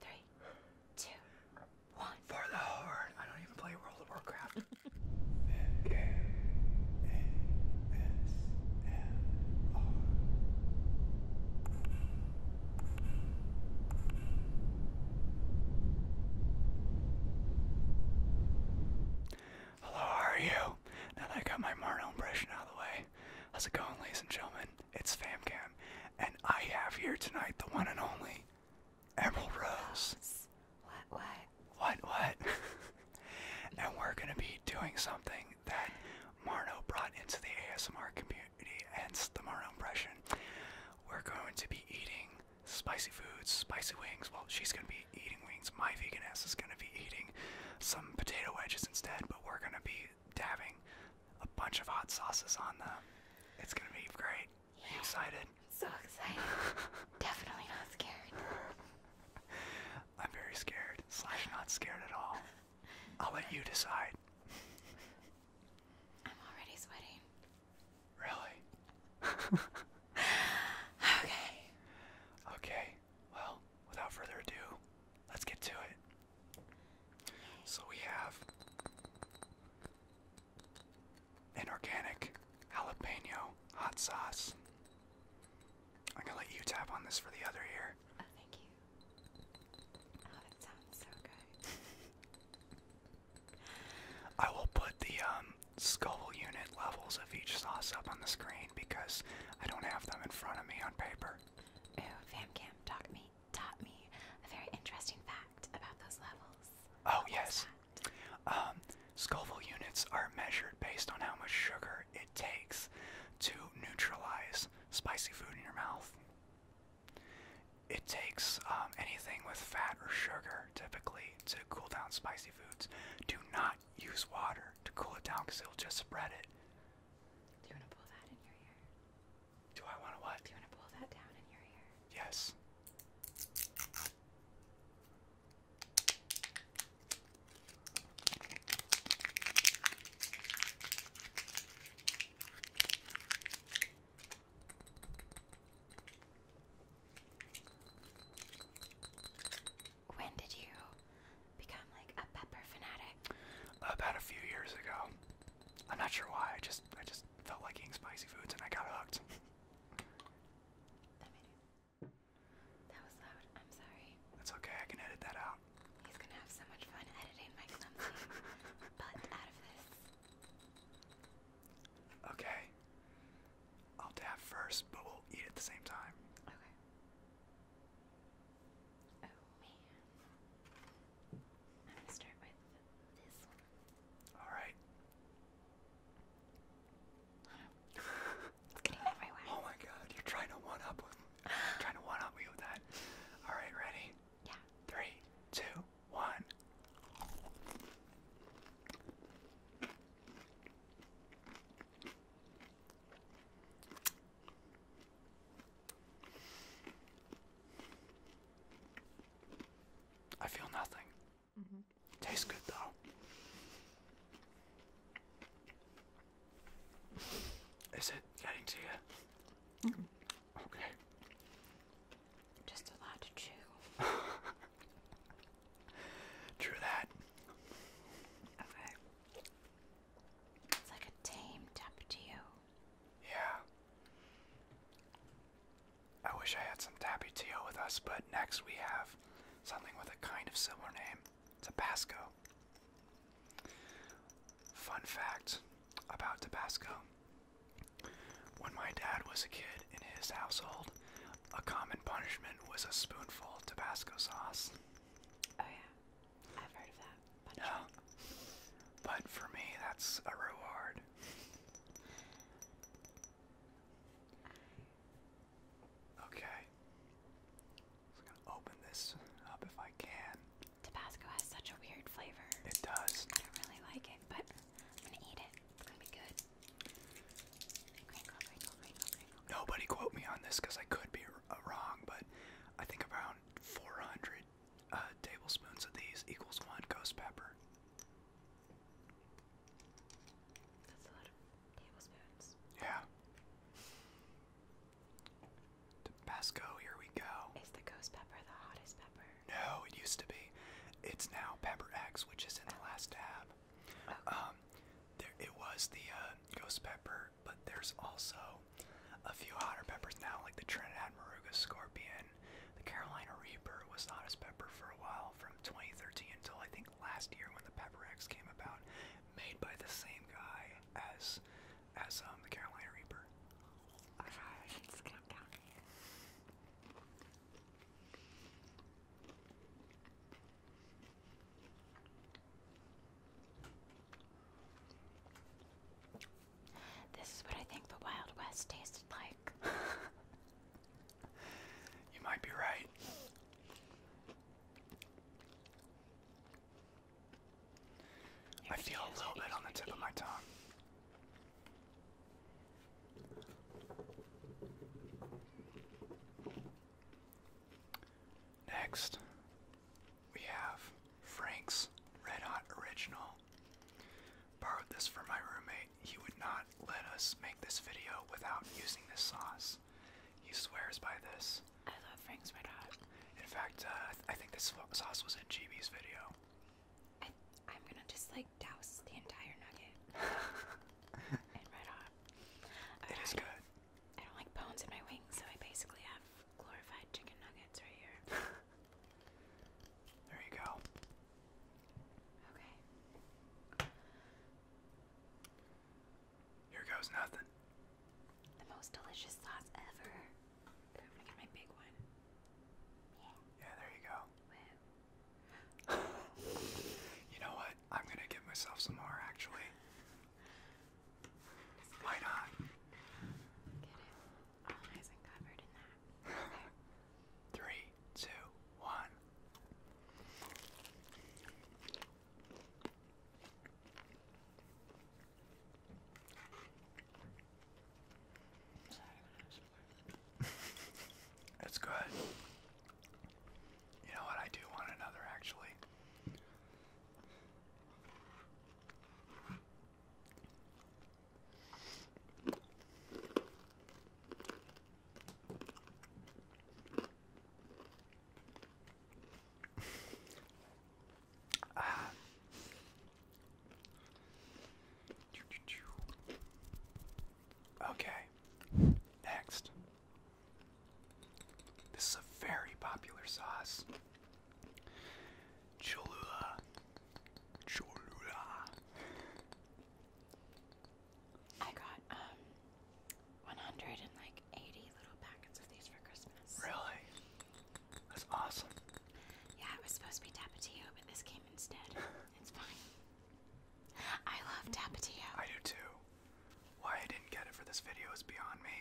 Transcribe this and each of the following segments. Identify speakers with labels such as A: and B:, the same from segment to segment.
A: Three, two, one. For the horn. I don't even play World of Warcraft. Hello, how are you? Now that I got my Marno impression out of the way, how's it going, ladies and gentlemen? It's FamCam, and I have here tonight the one and only Emerald Rose. What, what? What, what? and we're going to be doing something that Marno brought into the ASMR community, hence the Marno impression. We're going to be eating spicy foods, spicy wings. Well, she's going to be eating wings. My vegan ass is gonna be eating some potato wedges instead, but we're gonna be dabbing a bunch of hot sauces on them. It's gonna be great. Yeah. Are you excited? I'm so excited. Definitely not scared. I'm very scared, slash not scared at all. I'll let you decide. I'm already sweating. Really? okay. Okay well, without further ado, let's get to it. So we have an organic jalapeno hot sauce. I'm gonna let you tap on this for the other ear. Oh, thank you. Oh, it sounds so good. I will put the um skull unit levels of each sauce up on the screen because I don't have them in front of me on paper. Oh, FamCam taught me taught me a very interesting fact about those levels. Oh yes. Um, Scoville units are measured based on how much sugar it takes to neutralize spicy food in your mouth. It takes um, anything with fat or sugar typically to cool down spicy foods. Do not use water to cool it down because it'll just spread it. Do you want to pull that in your ear? Do I want to what? Do you want to pull that down in your ear? Yes. When did you become like a pepper fanatic? About a few years ago. I'm not sure why. I just I just felt like eating spicy foods and I got hooked.
B: that was loud. I'm sorry.
A: That's okay. I can edit that out.
B: He's gonna have so much fun editing my clumsy butt out of this.
A: Okay. I'll dab first, but we'll eat at the same time. Okay. Oh man. I'm gonna start with this one. Alright. it's getting everywhere. Oh my god, you're trying to one up with trying to one up me with that. Alright, ready? Yeah. Three, two, one. I feel nothing. Mm-hmm. Tastes good though. Is it getting to you? Mm-hmm.
B: Okay. Just a lot to chew.
A: True that. Okay. It's like a tamed up to Yeah. I wish I had some tabby Tapatio with us, but next we have something with a kind of similar name Tabasco. Fun fact about Tabasco when my dad was a kid in his household, a common punishment was a spoonful of Tabasco sauce. Oh yeah, I've heard of that. Punishment. But for me, that's a reward. Okay. I'm gonna open this up if I can. Tabasco has such a weird flavor. It does. I don't
B: really like it, but I'm gonna eat it. It's gonna be good.
A: Nobody quote me on this because I could be uh, wrong, but I think around 400 uh, tablespoons of these equals one ghost pepper. That's a lot of tablespoons. Yeah. Tabasco, here we go. Is the ghost pepper the hottest pepper? No, it used to be. It's now pepper X, which is in the last tab. Um, it was the uh, ghost pepper, but there's also a few hotter peppers now, like the Trinidad Moruga scorpion. The Carolina Reaper was the hottest pepper for a while, from 2013 until I think last year when the Pepper X came about, made by the same guy as as um, the Carolina Reaper. Alright, it's
B: this is what I think the Wild West tasted like.
A: you might be right. I feel a little bit on the tip of my tongue. Next, we have Frank's Red Hot Original. Borrowed this from my roommate. He would not let us make this video without using this sauce. He swears by this. I love Frank's Red Hot. In fact, uh, I think this sauce was in GB's video. I'm gonna just like douse the entire nugget
B: It is good. I don't like bones in my wings, so I basically have glorified chicken nuggets right here.
A: there you go. Okay. Here goes nothing. The most delicious sauce ever. I'm gonna get my big one. Yeah. there you go you know what? I'm gonna get myself some more actually. Why not? Three, two, one. That's good. You know what? I do want another actually. ah. Okay, next. This is a very popular sauce. Cholula. Cholula.
B: I got um 180 little packets of these for Christmas. Really? That's awesome. Yeah, it was supposed to be tapatio, but this came instead. it's fine. I love
A: Tapatio. I do too. Why I didn't get it for this video is beyond me.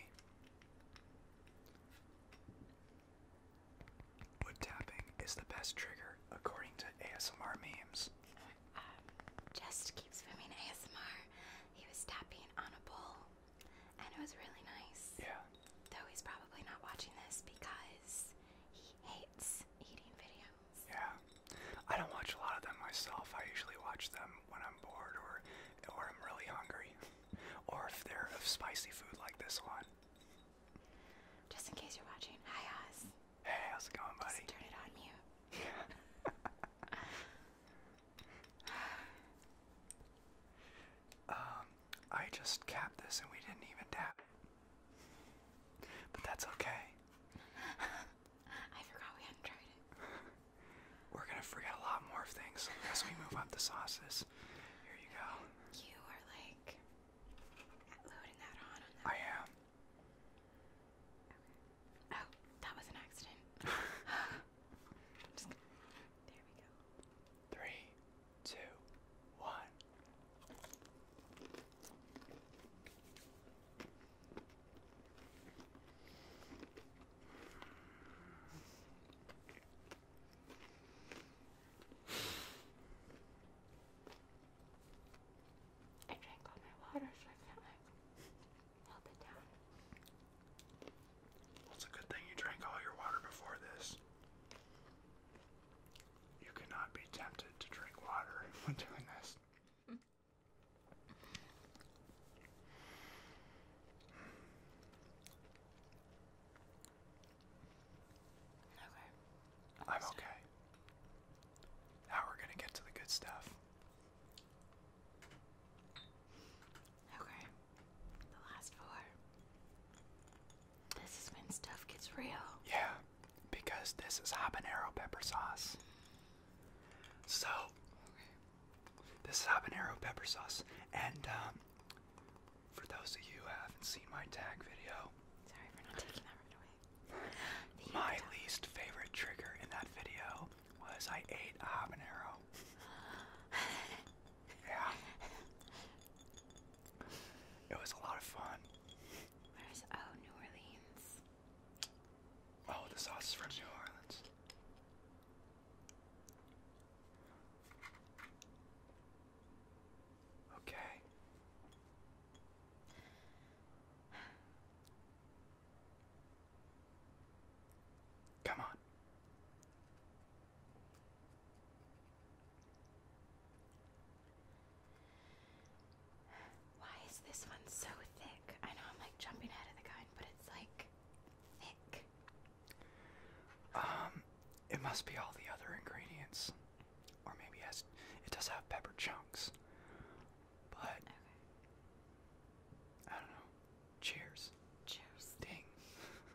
A: Wood tapping is the best trigger according to ASMR memes. Um, just keeps swimming ASMR.
B: He was tapping on a bowl, and it was really nice. Yeah. Though
A: he's probably not watching this because yeah. I don't watch a lot of them myself. I usually watch them when I'm bored or or I'm really hungry. or if they're of spicy food like this one. Just in case you're watching, hi Oz. Hey, how's it going, buddy? turn it on mute. um, I just capped this and we didn't even tap but that's okay. I forgot we hadn't tried it. We're gonna forget a lot more things as we move up the sauces. Here you go. You are like loading that on I am.
B: Oh, that was an accident. Just, there
A: we go. Three, two, one. I drank all my water, so I can't like melt it down. it's a good thing you drank all your water before this. You cannot be tempted to drink water when doing this. Okay. I'm okay. Now we're gonna get to the good stuff. Okay. The last four. This is when stuff gets real. Yeah, because this is habanero pepper sauce. So, this is habanero pepper sauce. And um, for those of you who haven't seen my tag video, sorry for not taking that right away. my least favorite trigger in that video was I ate a habanero. yeah. It was a lot of fun.
B: oh New Orleans?
A: Oh, the sauce is from New Orleans. Okay. Come on.
B: Why is this one so thick? I know I'm like jumping ahead of the gun, but it's like thick.
A: Um, it must be all the other ingredients, or maybe it it does have pepper chunks, but I don't know. Cheers. Cheers. Ding.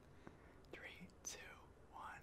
A: Three, two, one.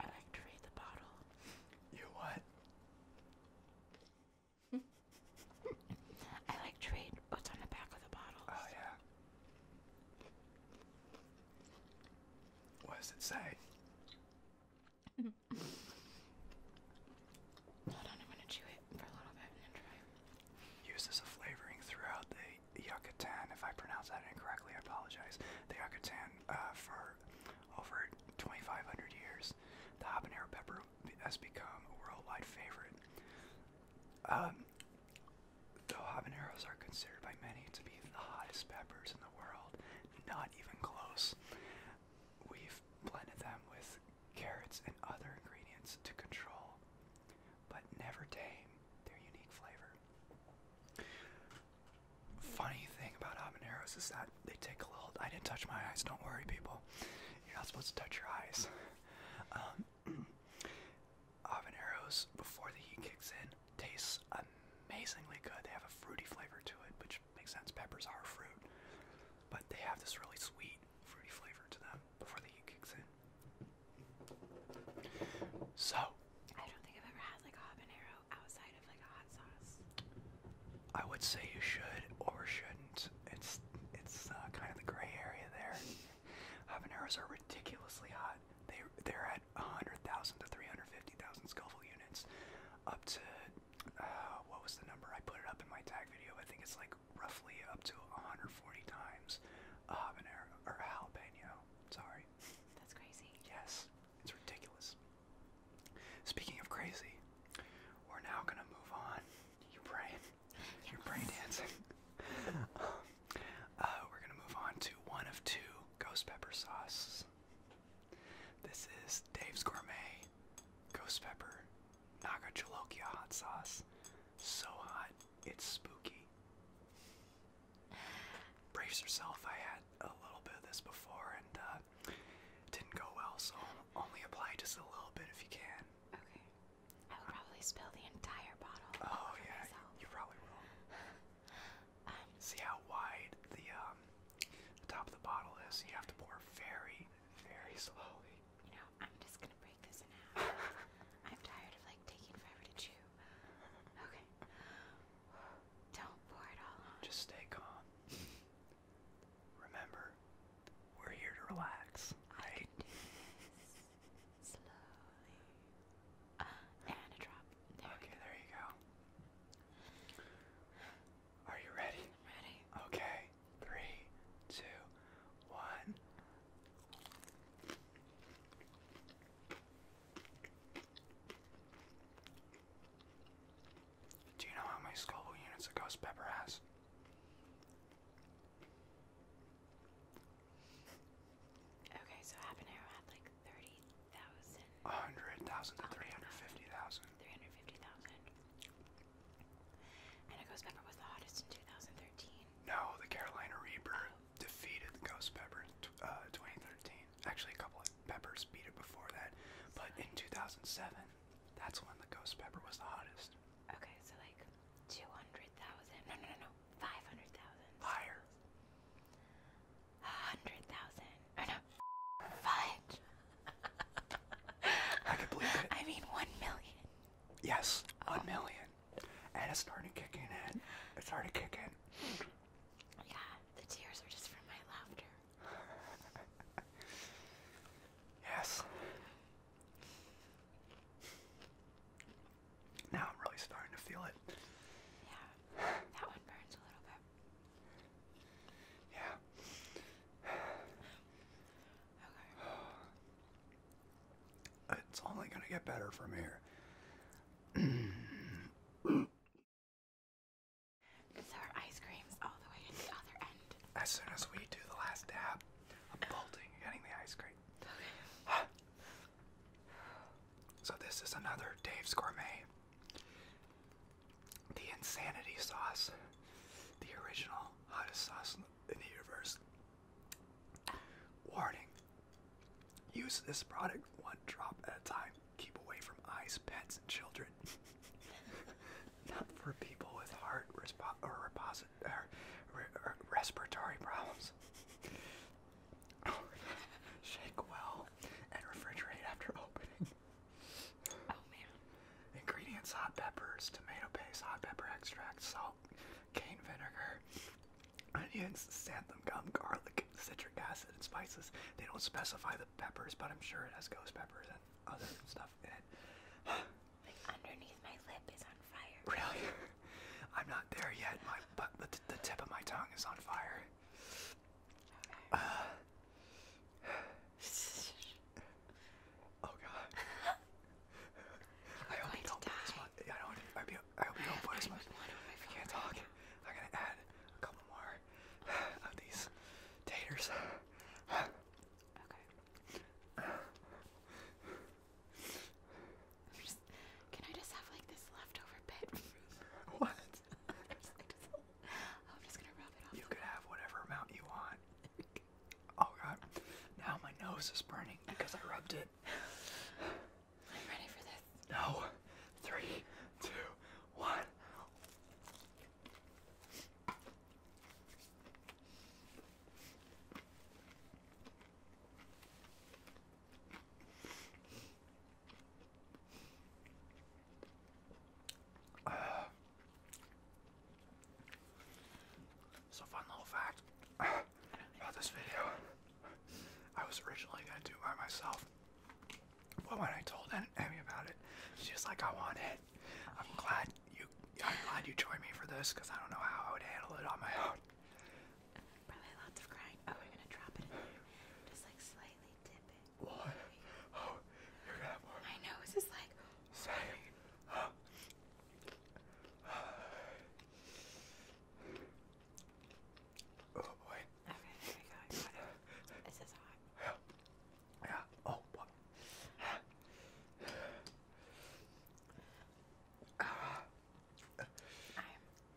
A: I like to read the bottle. You what? I like to read what's on the back of the bottle. Oh, yeah. What does it say? I'm gonna chew it for a little bit and then try. Uses as a flavoring throughout the Yucatan. If I pronounce that incorrectly, I apologize. The Yucatan uh, for over 2,500 years, the habanero pepper has become a worldwide favorite. Um, habaneros are considered by many to be the hottest peppers in the world, not even close. We've blended them with carrots, and other ingredients to control, but never tame their unique flavor. Funny thing about habaneros is that they take a little. I didn't touch my eyes. Don't worry, people. You're not supposed to touch your eyes. Um, habaneros before the heat kicks in tastes amazingly good. They have a fruity flavor to it, which makes sense. Peppers are fruit, but they have this really sweet fruity flavor to them before the heat kicks in. So I don't think I've ever had like a habanero outside of like a hot sauce. I would say you should or shouldn't. It's it's uh, kind of the gray area there. Habaneros are ridiculously hot. They they're at 100,000 to 350,000 Scoville units, up to uh, what was the number? I put it up in my tag video. I think it's like roughly up to 140 times habanero or jalapeno. Sorry. That's crazy. Yes, it's ridiculous. Speaking of crazy, we're now gonna move on. You brain, you brain dancing. Uh, we're gonna move on to one of two ghost pepper sauces. This is Dave's Gourmet Ghost Pepper Naga Jalokia hot sauce. So hot, it's spooky. Brace yourself, I had a little bit of this before and uh, didn't go well, so only apply just a little bit if you can. Okay. I will probably spill the entire bottle. Oh, yeah, you probably will. Um, See how wide um, the top of the bottle is? You have to pour very, very slowly you know, I'm just gonna break this in half. I'm tired of like taking forever to chew. Okay. Don't pour it all Just stay calm. Remember, we're here to relax, I slowly. Uh, and a drop. okay, there you go. Are you ready? I'm ready. Okay three, two, one. Do you know how many Scoville units a ghost pepper has? Okay, so habanero had like thirty thousand. A hundred thousand Three hundred fifty thousand. No, the Carolina Reaper defeated the Ghost Pepper in 2013. Uh, Actually, a couple of peppers beat it before that, but in 2007, that's when the Ghost Pepper was the hottest. Okay, so like 200,000. No, no, no, no. 500,000. Higher. 100,000. Oh no. Fudge. I can believe it. I mean, one million. Yes, oh. one million. And it's starting to kick in. It's starting to kick in. Yeah, the tears are just from my laughter. yes. Now I'm really starting to feel it. Yeah, that one burns a little bit. Yeah. It's only going to get better from here. Because our ice cream's all the way at the other end. As soon as we do the last dab, I'm bolting getting the ice cream. so this is another Dave's Gourmet. The Insanity Sauce. The original hottest sauce in the universe. Warning. Use this product one drop at a time. Keep away from eyes, pets, and children. Not for people with heart or, or, or respiratory problems. Shake well and refrigerate after opening. Oh, Ingredients hot peppers, tomato paste, hot pepper extract, salt, cane vinegar, onions, xanthan gum, garlic, citric acid, and spices. They don't specify the peppers, but I'm sure it has ghost peppers and other stuff in it.
B: Underneath my lip is on
A: fire. Really? I'm not there yet. My but the, tip of my tongue is on fire. Uh, Oh god. I hope you don't put as much. I don't. I hope you, I hope you don't put as much. If you can't talk, I'm gonna add a couple more of these taters. Okay.
B: Just, can I just have like this leftover bit? what? I'm just,
A: like, just, oh, I'm just gonna rub it off. You could have whatever amount you want. Oh god. Now my nose is burning because I rubbed it. I'm ready for this. No. Three, two, one. So fun little fact about this video. I was originally gonna do it by myself. But when I told Emmy about it, she's was like, I want it. I'm glad you I'm glad you joined me for this because I don't know how I would handle it on my own. Probably lots
B: of crying. Oh, we're gonna drop it Just like slightly dip
A: it. What? you're gonna have
B: more. My nose is like.
A: Same. Oh. oh boy. Okay, there we go. This is hot. Yeah. Yeah. Oh boy. I'm,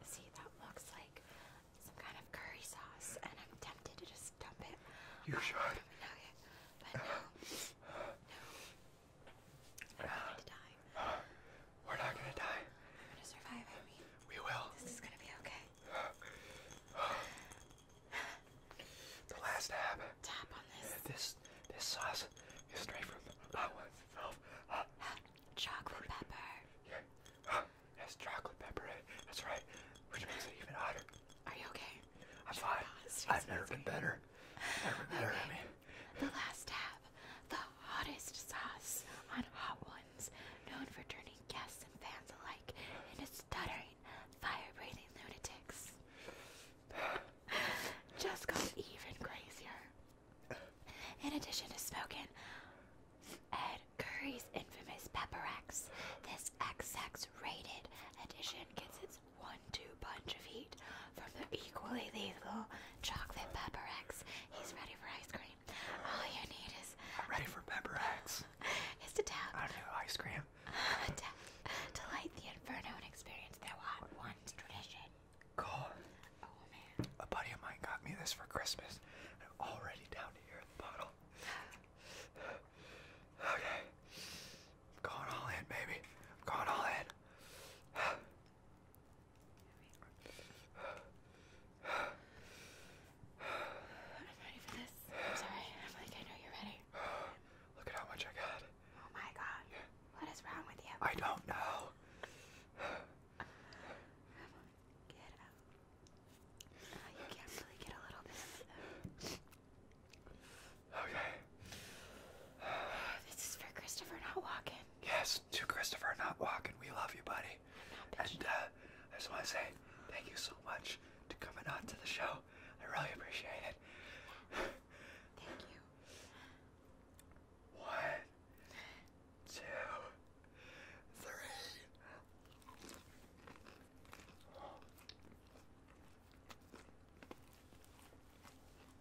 B: see, that looks like some kind of curry sauce, and I'm tempted to just dump it.
A: You should but no. not going to die. We're not going to die. We're going to survive, We will. This is going to be okay. the last dab. Tap on this. This this sauce is straight from the hot one itself. chocolate pepper. Yeah. Uh, chocolate pepper That's right. Which makes it even hotter. Are you okay? I'm fine. I've never been better. Never better okay. The last tab. The hottest sauce on hot ones,
B: known for turning guests and fans alike into stuttering, fire-breathing lunatics. Just got even crazier. In addition to smoking, Ed Curry Sony's infamous Pepperex. This XX rated edition gets its one two punch of heat from the equally lethal chocolate Pepperex. He's ready for ice cream. All you need is am ready for Pepperex. is to tap I do ice cream. to light the inferno and experience their hot one's
A: tradition. God. Oh man. A buddy of mine got me this for Christmas. I'm already down here in the bottle. Okay. i going all in, baby. going all in. I'm ready for this. I'm
B: sorry. I'm like, I know you're ready.
A: Look at how much I got. Oh my god. What is wrong with you? I don't know. Oh, okay. this is for Christopher not walking. Yes, to Christopher not walking. We love you, buddy. And uh, I just want to say thank you so much to coming on to the show. I really appreciate it. Thank you. One, two, three.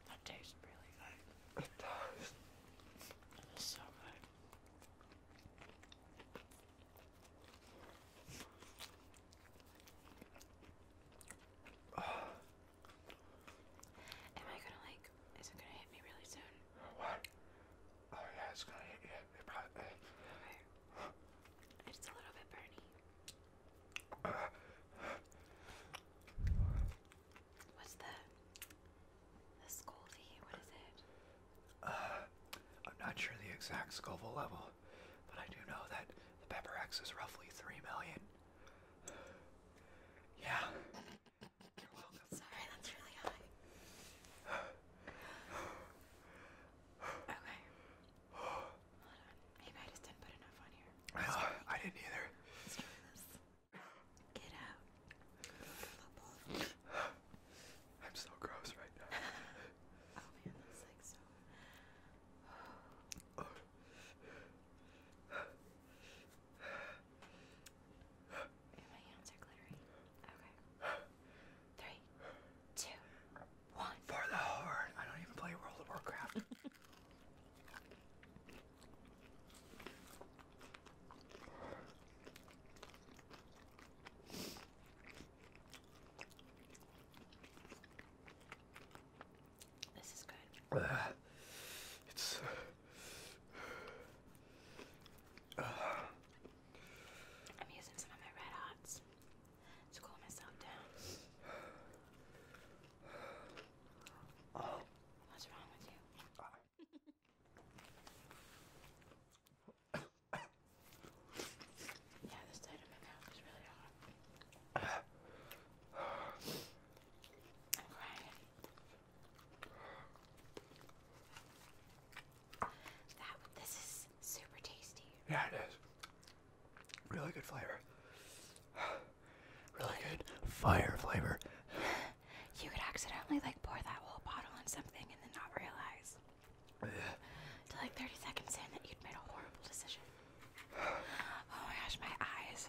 A: That tastes really good. It does. so good.
B: Am I gonna like? Is it gonna hit me really soon?
A: what? Oh yeah, it's gonna hit you. What's the the Scoville? What is it? I'm not sure the exact Scoville level, but I do know that the pepper X is roughly three million. Yeah. You're welcome. Sorry, that's really high.
B: Okay. Hold on. Maybe I just didn't put enough on here. I didn't either. Get out.
A: I'm so gross right now. oh man, that's like so. oh.
B: And my hands are glittery. Three, two,
A: one. For the horn. I don't even play World of Warcraft.
B: This is good.
A: it's I'm
B: using some of my red hots to cool myself down. Oh. What's wrong with you? yeah, this side of my
A: really hot. I'm crying. Yeah, it is.
B: Really good flavor. Really good fire flavor. You could accidentally like pour that whole bottle on something and then not realize. Till like 30 seconds in that you'd made a horrible decision.
A: Oh my gosh, my eyes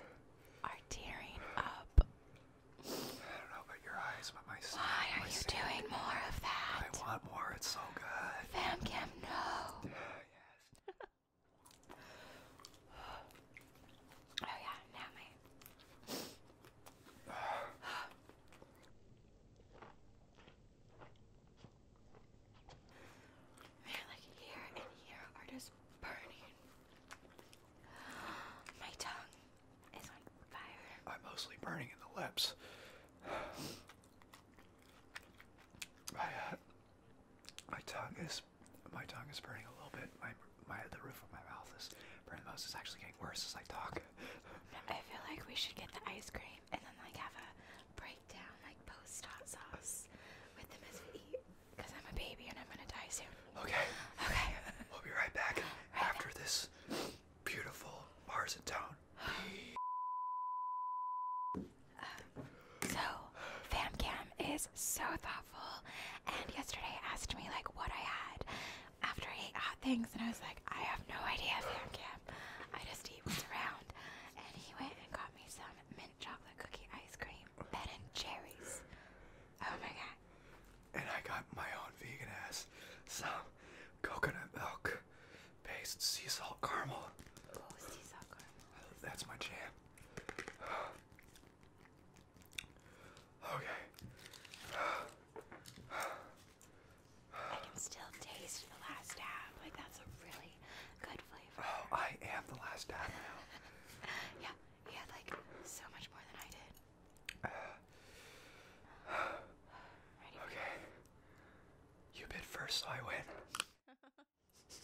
A: are tearing up. I don't know. Why are you doing more of that? I want more. It's so good. Fam cam, no. oh yeah, now mate.
B: Man, like here and here are just burning.
A: My tongue it's on fire. I'm mostly burning in the lips. My uh, my tongue is my tongue is burning a little bit. My my the roof of my mouth is burning. most is actually getting worse as I talk. I feel like we should get the ice cream and then like have a
B: breakdown, like post hot
A: sauce with them as we eat. Cause
B: I'm a baby and I'm gonna die soon.
A: Okay. Okay. We'll be right back after this beautiful Mars in town. so,
B: FamCam is so thoughtful, and yesterday asked me like what I had after I ate hot things, and I was like, I have no idea, FamCam. I just eat what's around. And he went and got me some mint chocolate cookie ice cream,
A: Ben and Jerry's. Oh my god and I got my own vegan ass some coconut milk based sea salt caramel. Oh, sea salt caramel. That's my jam. Okay. I can still
B: taste the last dab. Like that's a really
A: good flavor. Oh, I am the last dab now. yeah, he had like so much more than I did. Okay. You bid first, so I win.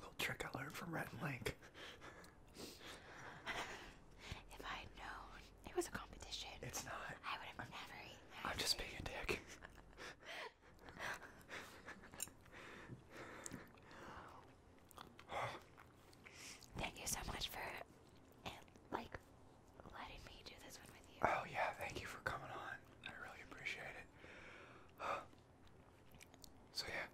A: Little trick I learned from Rhett and Link. if I had known it was a competition, it's not. I would have never eaten I'm just being a dick.
B: Thank you so much for
A: like letting me do this one with you. Oh yeah, thank you for coming on. I really appreciate it. so yeah,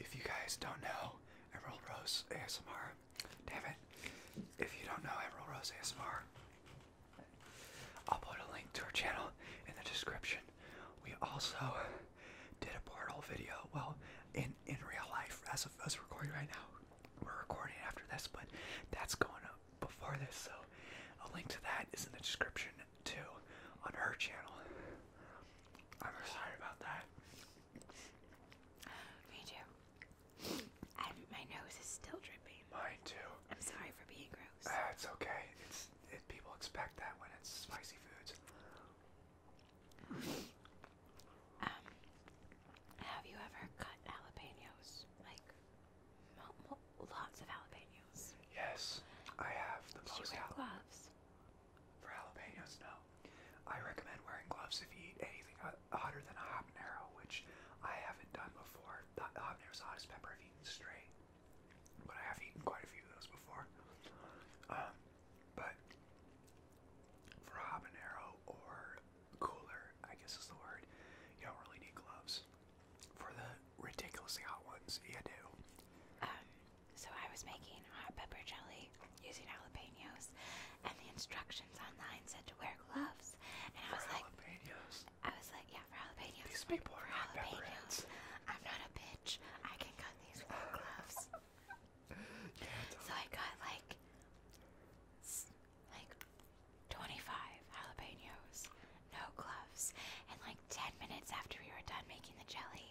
A: if you guys don't know Emerald Rose ASMR, damn it. If you don't know Emerald Rose ASMR, I'll put a link to her channel in the description. We also did a portal video, well, in in real life as of are recording right now. We're recording after this, but that's going up before this, so a link to that is in the description too on her channel. I'm excited about that.
B: Me too. my nose is still
A: dripping. Mine too. I'm sorry for being gross. Ah, it's okay. It's people expect that when it's spicy foods. Um,
B: have you ever cut jalapenos? Like,
A: lots of jalapenos. Yes, I have the Did most. you wear gloves? For jalapenos, no. I recommend wearing gloves if you eat anything hotter than a habanero, which I haven't done before. The habanero's the hottest pepper I've eaten straight, but I have eaten quite a few of those before. Um, but for habanero or cooler, I guess is the word, you don't really need gloves. For the ridiculously hot ones, you do. Um, so
B: I was making hot pepper jelly using jalapenos, and the instructions online said to wear gloves, and I was for like, jalapenos. I was like, yeah, for jalapenos. These people for jalapenos. I'm not a bitch. I can cut these without gloves so I got like like 25 jalapenos, no gloves, and like 10 minutes after we were done
A: making the jelly,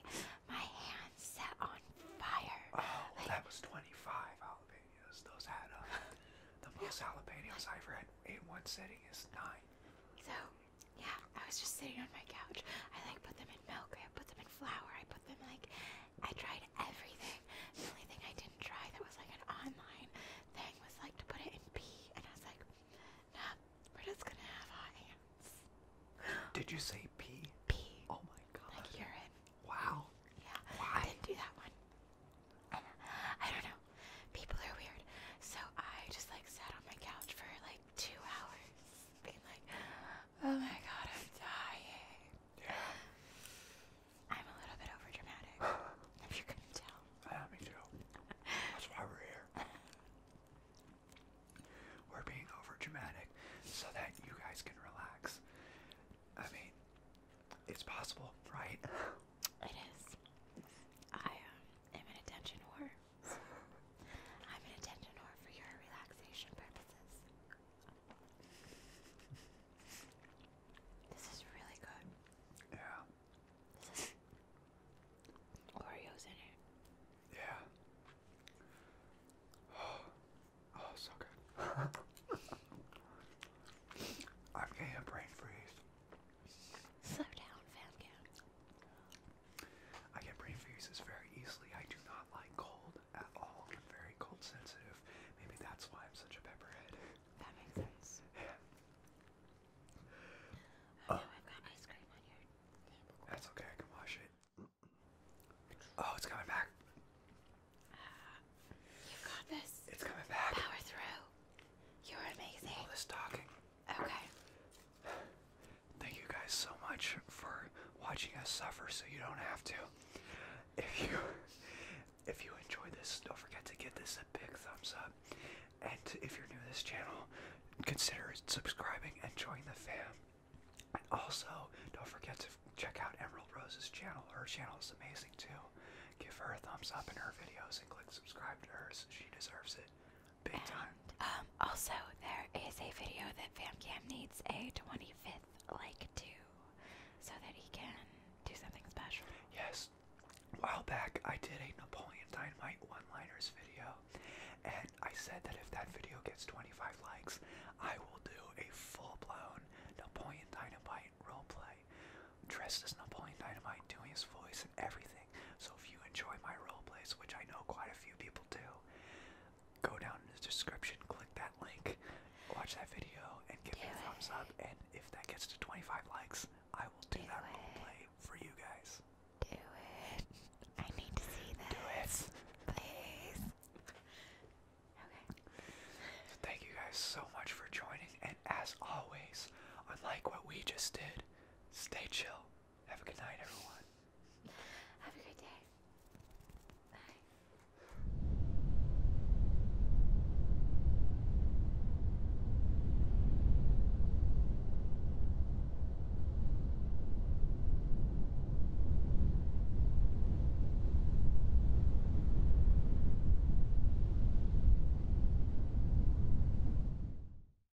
A: my hands set on fire. Oh, that was 25 jalapenos. Those had up. Uh, the most jalapenos I ever had in one sitting is nine. So yeah,
B: I was just sitting on my
A: couch. I like put them in milk, I
B: put them in flour, I put them like, I tried everything. The only thing I didn't try that was like an online thing was like to put it in pee, and I was like, nah, we're just gonna have hot hands.
A: Did you say pee? Pee. Oh my god. Like urine. Wow. Yeah. Why? I
B: didn't do that one. I don't know. People are weird. So I just like sat on my couch for like two hours being like, oh my god, I'm dying. I'm
A: a little bit over if you couldn't tell. Yeah, me too. That's why we're here. We're being over so that you guys can relax. I mean, it's possible, right? It is. I um, am an attention
B: whore. I'm an attendant whore for your relaxation purposes. This is really good. Yeah. This is Oreos in it. Yeah.
A: Oh, oh so good. I'm getting brain freeze. Slow down, fam I get brain freezes very easily. I do not like cold at all. I'm very cold sensitive. Maybe that's why I'm such a pepperhead. That makes sense. Oh, I've got ice cream on your table. That's okay. I can wash it. Oh, it's coming back.
B: Uh, you
A: got this. It's coming back. Power through. You're amazing. All this talking. Okay. Thank you guys so much for watching us suffer so you don't have to. If you if you enjoyed this, don't forget to give this a big thumbs up. And if you're new to this channel, consider subscribing and join the fam. And also, don't forget to check out Emerald Rose's channel. Her channel is amazing too. Give her a thumbs up in her videos and click subscribe to hers. She deserves it and, um, also, there is a video that
B: FamCam needs a 25th like to so that he can do something special.
A: Yes. A while back, I did a Napoleon Dynamite one liners video, and I said that if that video gets 25 likes, I will do a full blown Napoleon Dynamite roleplay dressed as Napoleon Dynamite, doing his voice and everything. So if you enjoy my roleplays, which I know quite a few people do, go down in the description, click that link, watch that video, and give do me a thumbs up. And if that gets to 25 likes, I will do, that it. roleplay for you guys. Do it. I need to see that. Do it. Please. Okay. So thank you guys so much for joining, and as always, unlike what we just did, stay chill. Have a good night, everyone. Have a good day. Bye.